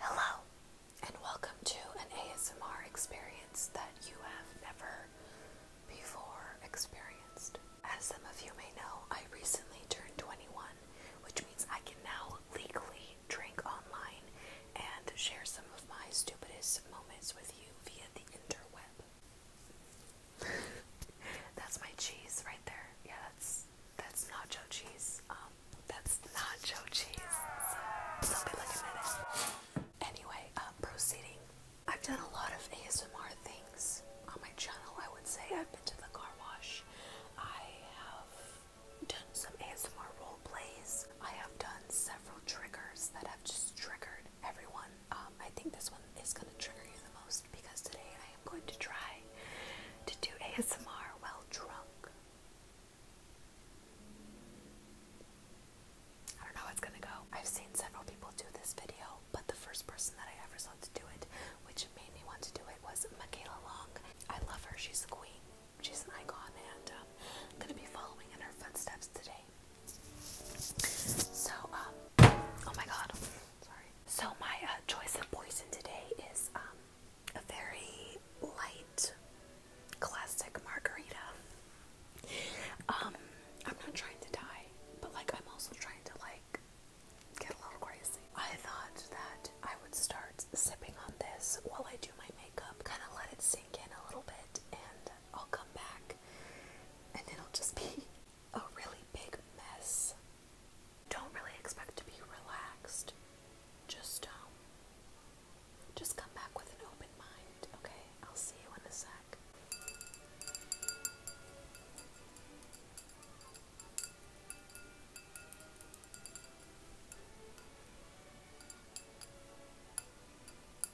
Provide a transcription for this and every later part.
Hello, and welcome to an ASMR experience that you have never before experienced. As some of you may know, I recently turned 21, which means I can now legally drink online and share some of my stupidest moments with you via the interweb. that's my cheese right there. Yeah, that's that's nacho cheese. Um, that's nacho cheese. So it'll be like a minute. Anyway, um, proceeding. I've done a lot of ASMR things on my channel. I would say I've been to the car wash. I have done some ASMR role plays. I have done several triggers that have just triggered everyone. Um, I think this one is going to trigger you the most because today I am going to try to do ASMR while drunk. I don't know how it's gonna go. I've seen several people do this video, but the first person that I ever saw to do it, which made me want to do it, was Michaela Long. I love her, she's a queen, she's an icon, and I'm um, gonna be following in her footsteps today. So, um, oh my god, sorry. So my uh, choice of poison today is um, a very light classic margarita. Um, I'm not trying to die, but like I'm also trying to like get a little crazy. I thought that I would start sipping on this while I do my makeup, kind of let it sink in a little bit, and uh, I'll come back and it'll just be a really big mess. Don't really expect to be relaxed. Just um just come back with an open mind, okay? I'll see you in a sec.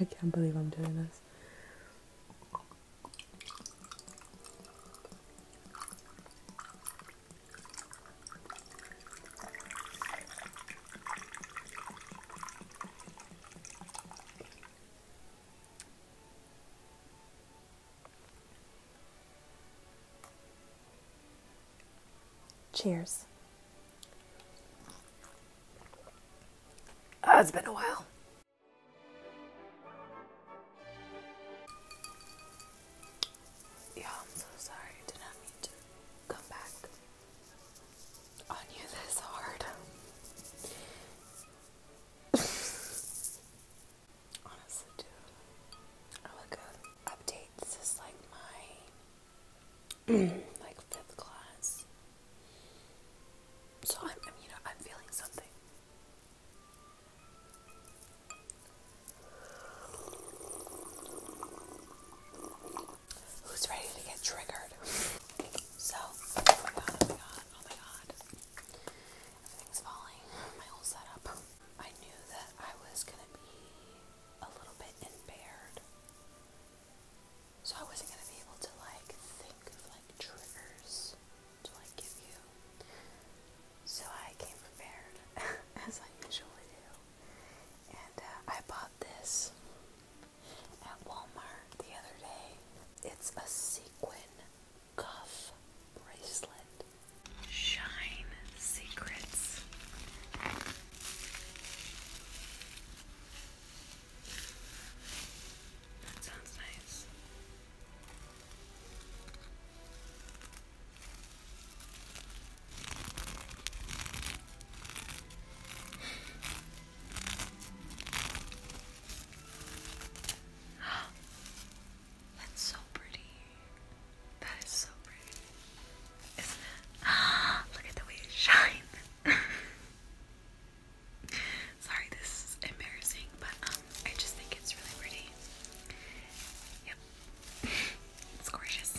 I can't believe I'm doing this. Cheers. Oh, it's been a while. Yeah, I'm so sorry. Did not mean to come back on you this hard. Honestly, dude, I look good. Updates is like my like fifth class. So I'm, you know, I'm feeling something. Who's ready to get triggered? So, oh my god, oh my god, oh my god. Everything's falling. My whole setup. I knew that I was gonna be a little bit impaired so I wasn't gonna be able to like think of like triggers to like give you. So I came prepared, as I usually do, and uh, I bought this at Walmart the other day. It's a sequin cuff bracelet. Shine Secrets that sounds nice. That's so pretty. That is so pretty. Look at the way it shines. Sorry, this is embarrassing, but um, I just think it's really pretty. Yep, it's gorgeous.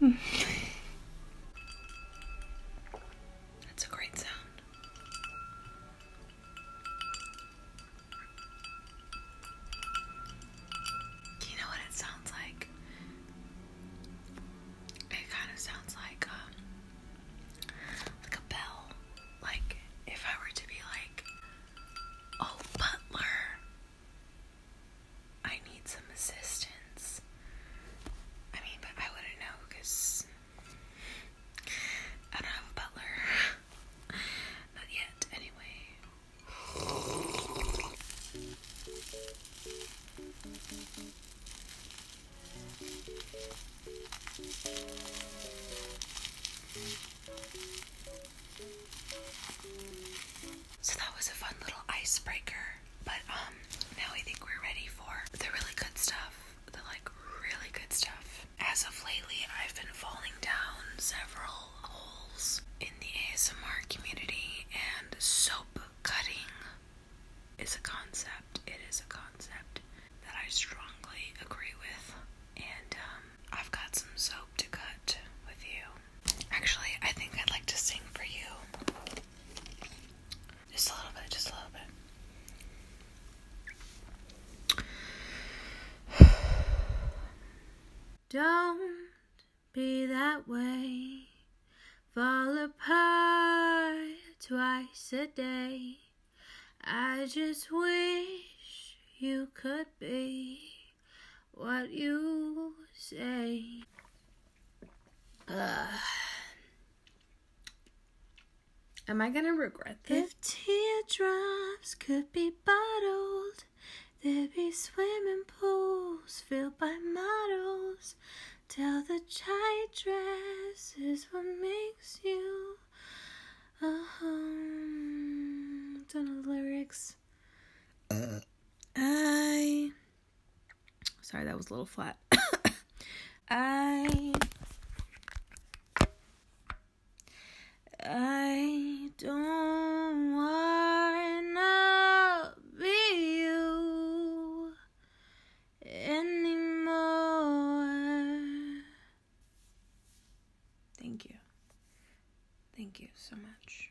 That's a great sound. You know what it sounds like? It kind of sounds like um like a bell. Like if I were to be like, oh butler, I need some assistance. I mean, but I wouldn't know because I don't have a butler. Not yet, anyway. So that was a fun little icebreaker. But um now I think we're ready for the really good stuff. The like really good stuff. As of lately I've been falling down several holes in the ASMR community and soap cutting is a concept. It is a concept that I strongly agree with. And um I've got some soap to cut with you. Actually, I think I'd like to sing for you. Just a little bit, just a little bit. Don't be that way. Fall apart twice a day. I just wish you could be what you say. Uh, am I gonna regret this? If teardrops could be bottled, there'd be swimming pools filled by models. Tell the tight dress is what makes you a home. do the lyrics this. Uh. I. Sorry, that was a little flat. I. I don't wanna be you anymore. Thank you. Thank you so much.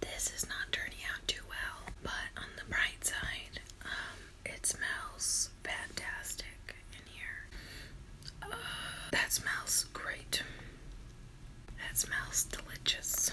This is not turning out too well, but on the bright side, um, it smells fantastic in here. Uh, that smells great. That smells delicious.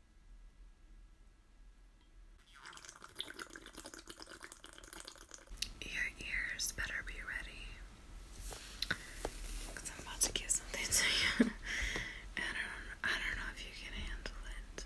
Your ears better be ready. I'm about to give something to you. and I don't, I don't know if you can handle it.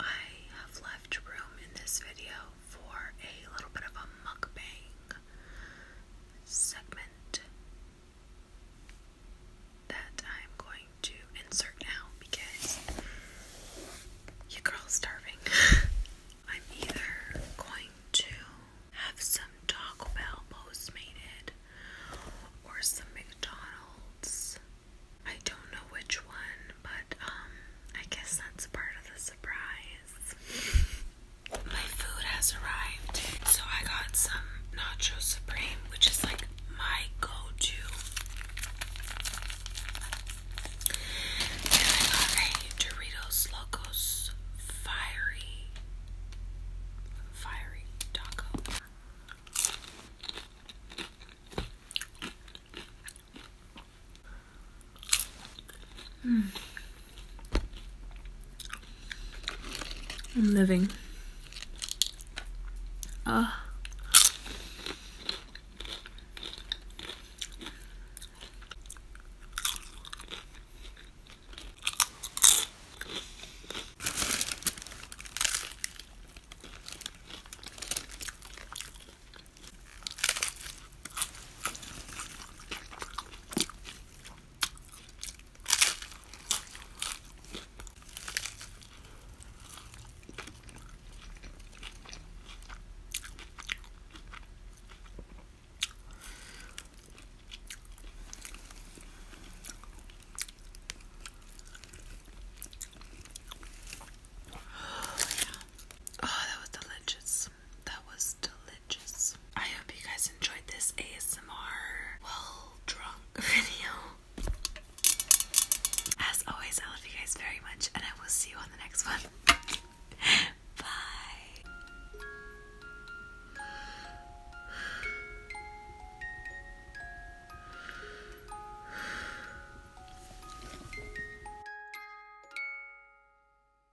I have left room in this video for a little bit of a mukbang segment that I'm going to insert now because you girl's starving. I'm either going to have some Taco Bell postmated or some McDonald's. I don't know which one, but um I guess that's part of the surprise. My food has arrived. So I got some Nacho Supreme, which is like my go-to. And I got a Doritos Locos Fiery Fiery Taco. Mm. I'm living. Ah. Oh, yeah. Oh, that was delicious. That was delicious. I hope you guys enjoyed this ASMR well drunk video. As always, I love you guys very much, and I will see you on the next one. Bye.